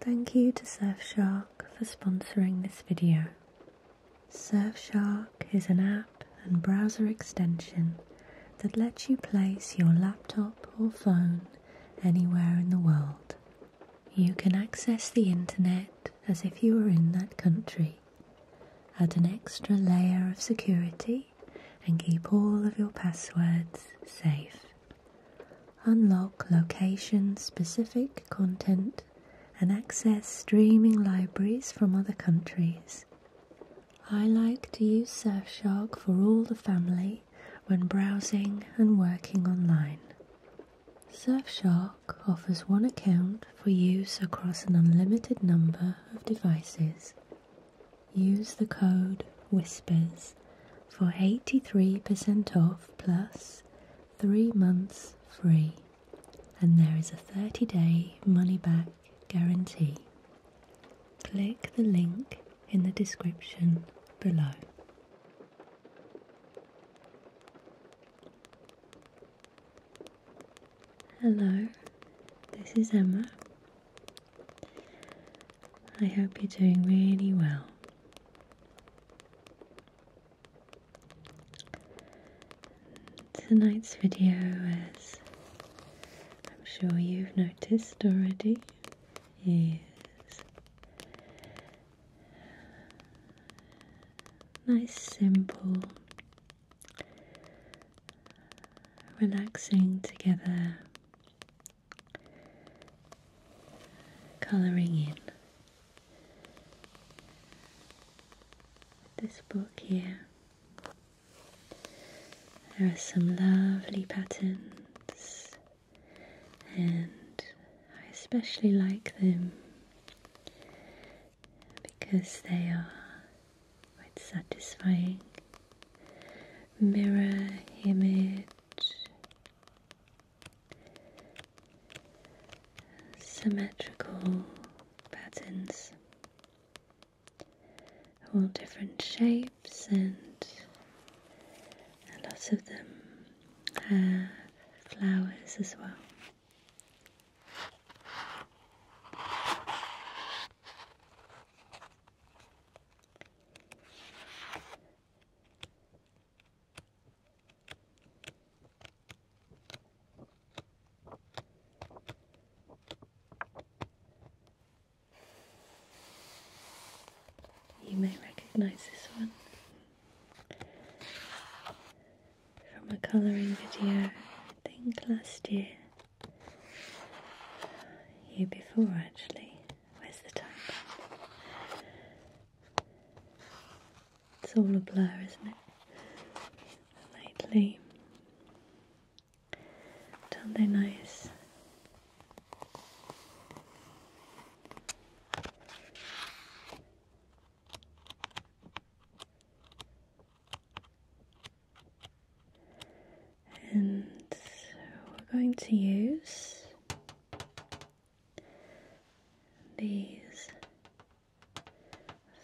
Thank you to Surfshark for sponsoring this video. Surfshark is an app and browser extension that lets you place your laptop or phone anywhere in the world. You can access the internet as if you were in that country. Add an extra layer of security and keep all of your passwords safe unlock location-specific content, and access streaming libraries from other countries. I like to use Surfshark for all the family when browsing and working online. Surfshark offers one account for use across an unlimited number of devices. Use the code WHISPERS for 83% off plus 3 months free. And there is a 30 day money back guarantee. Click the link in the description below. Hello, this is Emma. I hope you're doing really well. Tonight's video, as I'm sure you've noticed already, is nice, simple, relaxing together colouring in this book here. There are some lovely patterns, and I especially like them because they are quite satisfying. Mirror image symmetrical patterns, all different shapes, and a lot of them have flowers as well. You may recognize this one from a colouring video, I think last year, year before actually. Where's the time It's all a blur, isn't it? Lately. Don't they nice? and we're going to use these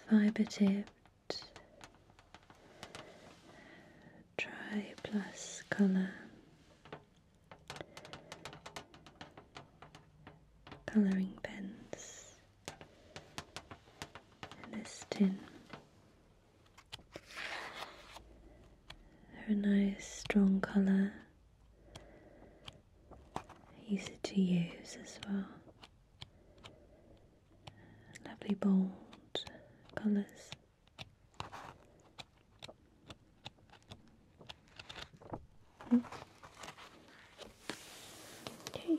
fiber tipped dry plus color coloring pens in this tin. They're a nice strong colour, easy to use as well. Lovely bold colours. Hmm. Okay.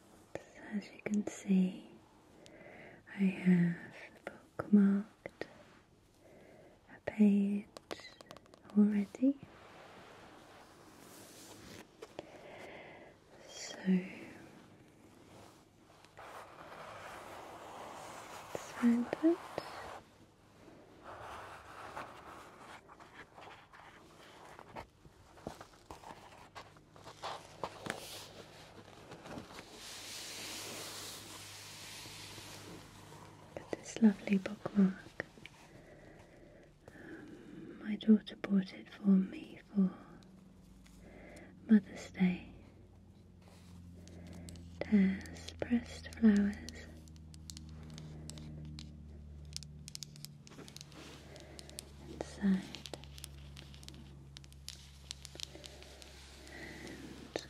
as you can see, I have bookmarked a page already. So let this lovely bookmark. Um, my daughter bought it for me for Mother's Day. It has pressed flowers inside and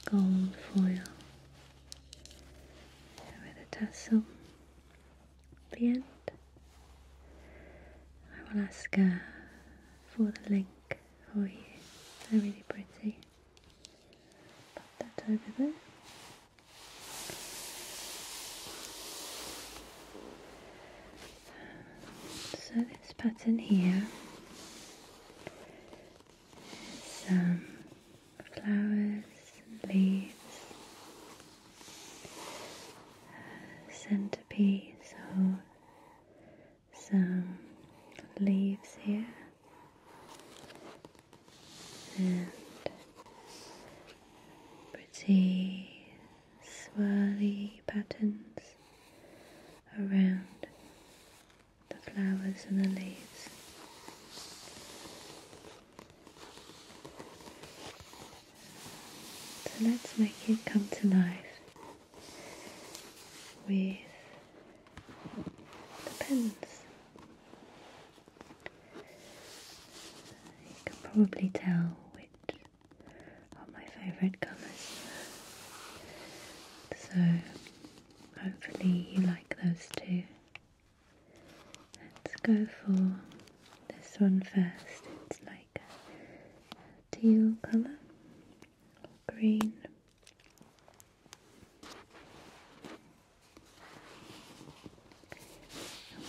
gold foil with a tassel the end. I will ask uh, for the link for you. They're really pretty. Put that over there. So this pattern here is some flowers and leaves, centerpiece or some leaves here and pretty swirly patterns around the flowers and the leaves. So let's make it come to life with the pens. You can probably tell which are my favourite colours. So hopefully you like those too. Let's go for this one first. It's like a teal colour, green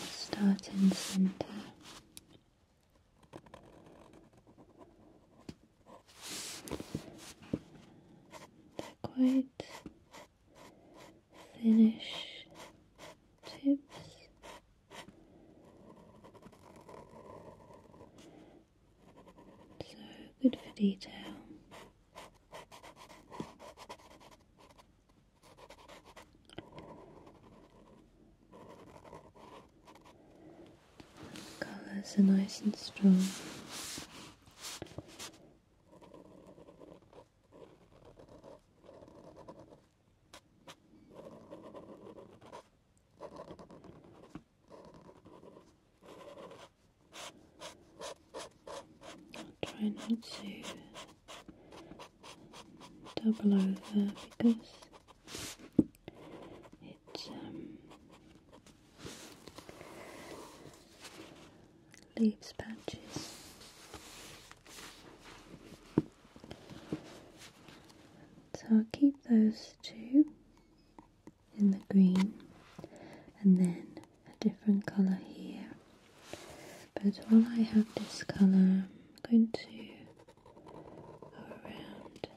start in center. quite finish tips. So good for detail. Colors are nice and strong. I'll try not to double over because it um, leaves patches. So I'll keep those two in the green and then a different color here but while I have this color I'm going to go around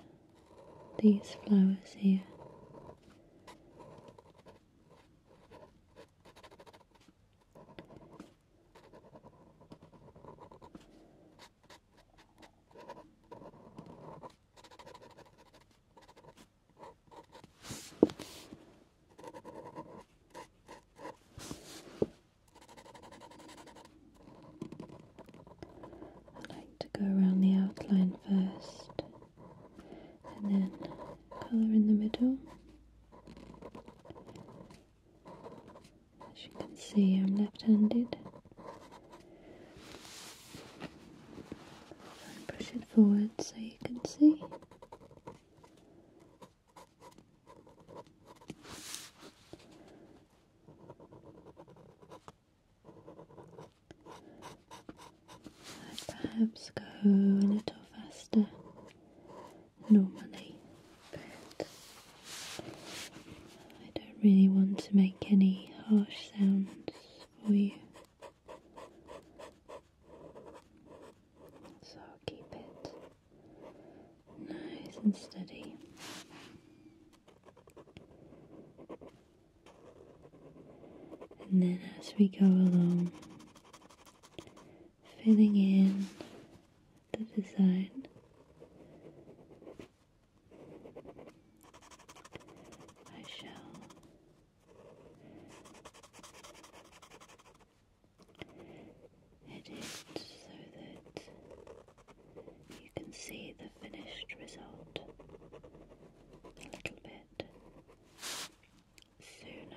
these flowers here I like to go around the outline first and then colour in the middle. As you can see, I'm left handed. Push it forward so you can see i perhaps go a little faster normally, I don't really want to make any harsh sounds for you. So keep it nice and steady. And then as we go along, filling in the design. I shall edit so that you can see the finished result a little bit sooner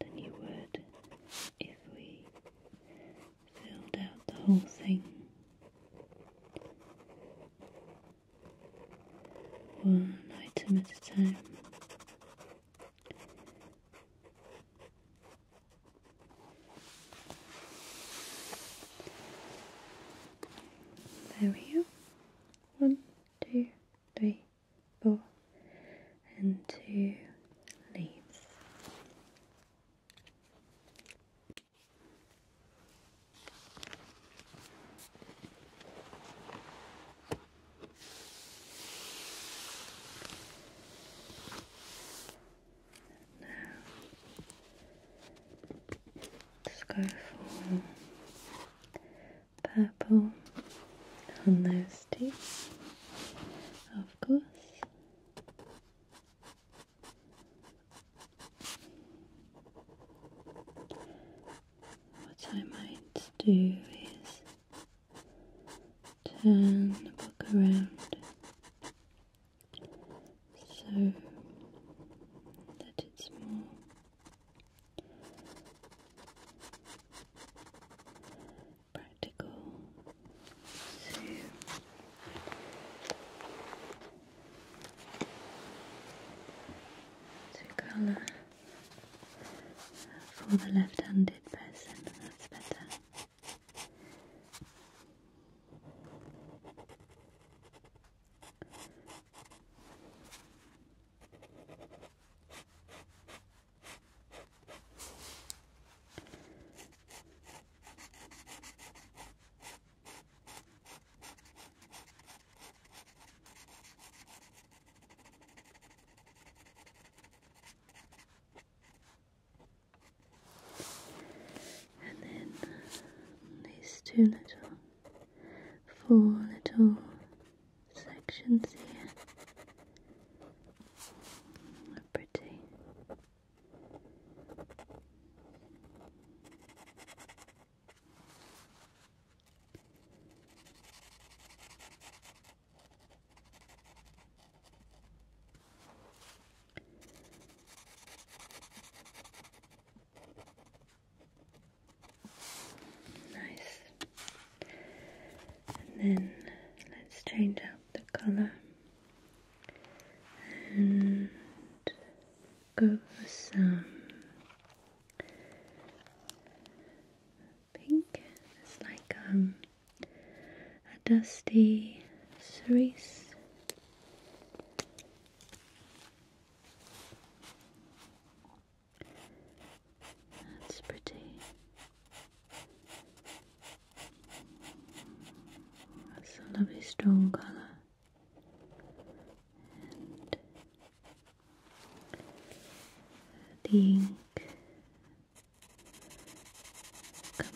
than you would if we filled out the whole thing one item at a time. There we go. One, two, three, four, and two leaves. Now, let go for purple on those two, of course what I might do is turn the book around so that it's more practical to to colour for the left-handed person, that's better. And then these two little, four little sections here. Pretty. Nice. And then let's change out the colour and go for some pink. It's like um, a dusty cerise. That's pretty. That's a lovely strong colour the ink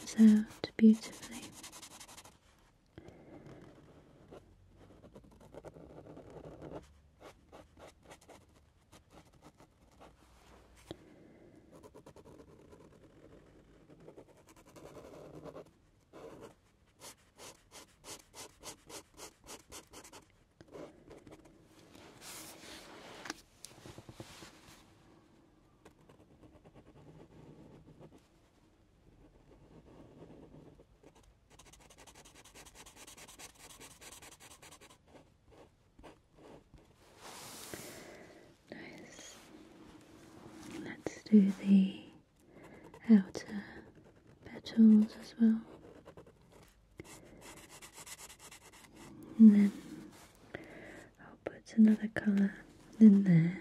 comes out beautifully. Nice. Let's do the outer petals as well. And then I'll put another colour in there.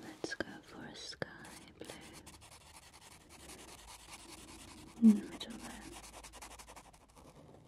Let's go for a sky blue in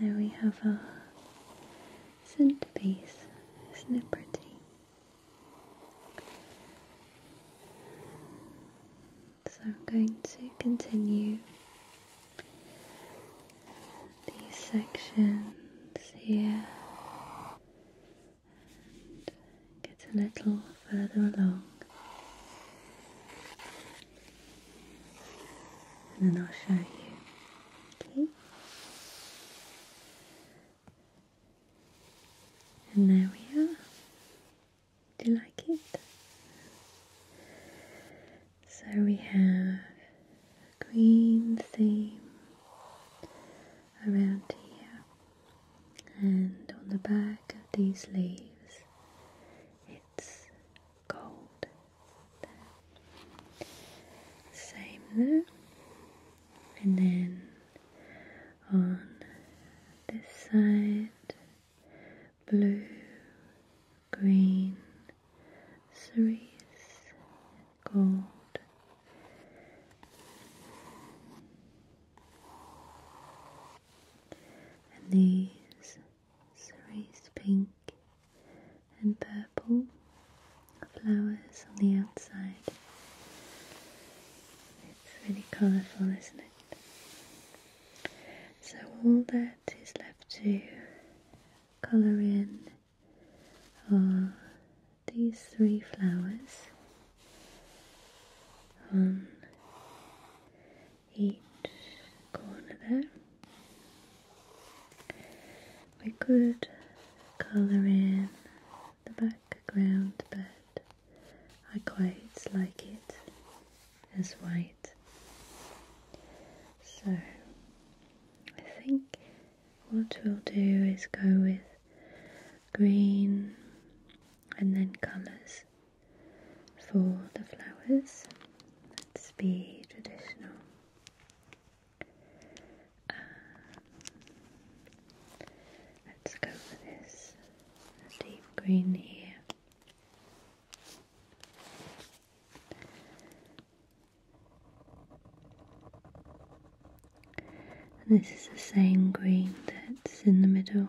There we have our centerpiece. Isn't so I'm going to continue these sections here and get a little further along. And then I'll show you. Okay. And there we are. Do you like it? So we have a green theme around here, and on the back of these leaves, it's gold. Same there, and then on this side blue, green, cerise, gold. And these cerise pink and purple flowers on the outside. It's really colourful, isn't it? So all that is left to colour in are these three flowers on each corner there. We could colour in the background, but I quite like it as white. So I think what we'll do is go with green and then colours for the flowers. Let's be traditional. Let's go for this deep green here. this is the same green that's in the middle.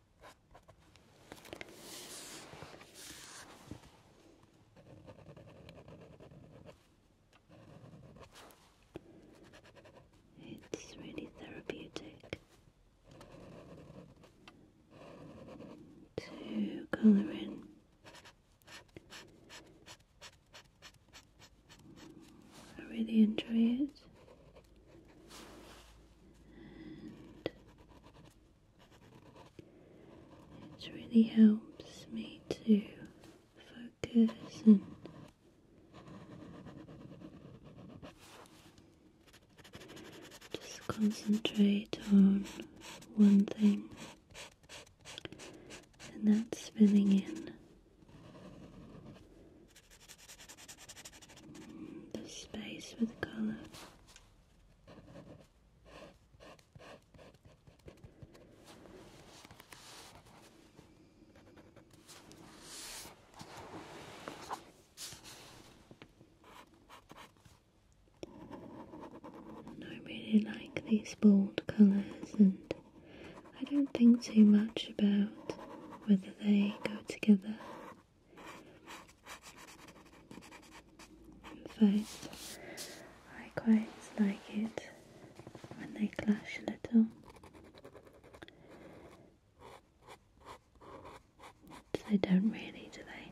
It's really therapeutic to colour in I really enjoy it it really helps me to focus and just concentrate on one thing, and that's filling in the space with colour. I really like these bold colours, and I don't think too much about whether they go together in fact, I quite like it when they clash a little. They don't really, do they?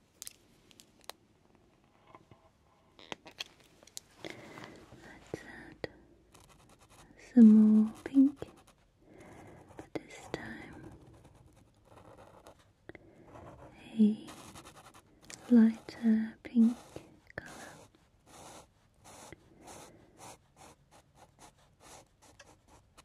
Let's add some more pink, but this time a lighter pink colour.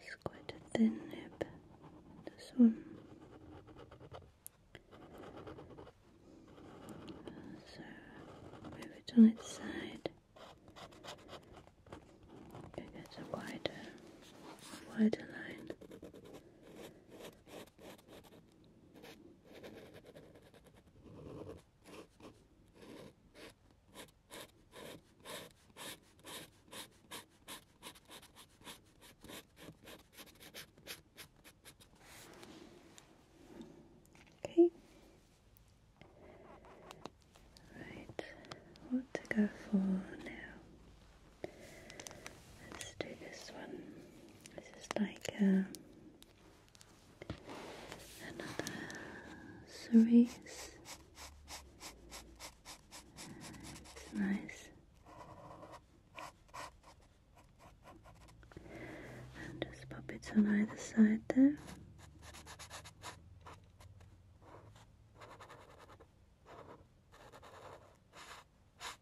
It's quite a thin nib, this one. So move it on its side. It a wider, wider line. Okay. Right, what to go for now? Let's do this one. This is like a um, another cerise. It's nice. just pop it on either side there.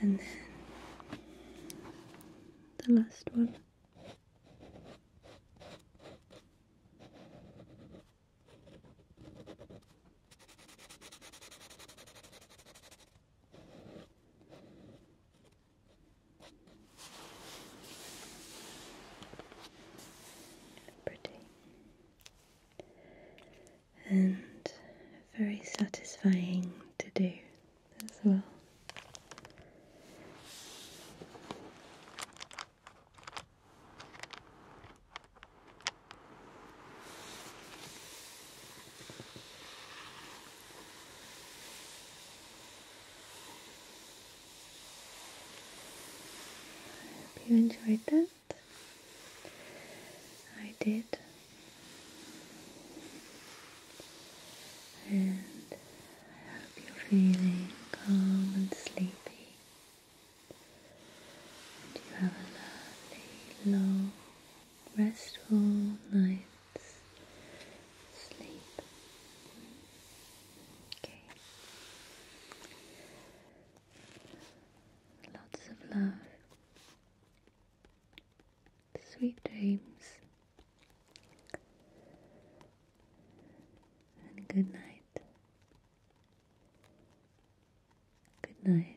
and then the last one. Pretty and very satisfying to do as well. I hope you enjoyed that. I did. And I hope you're feeling calm and sleepy. And you have a lovely, long, restful night's sleep. Okay. Lots of love sweet dreams, and good night. Good night. Good night.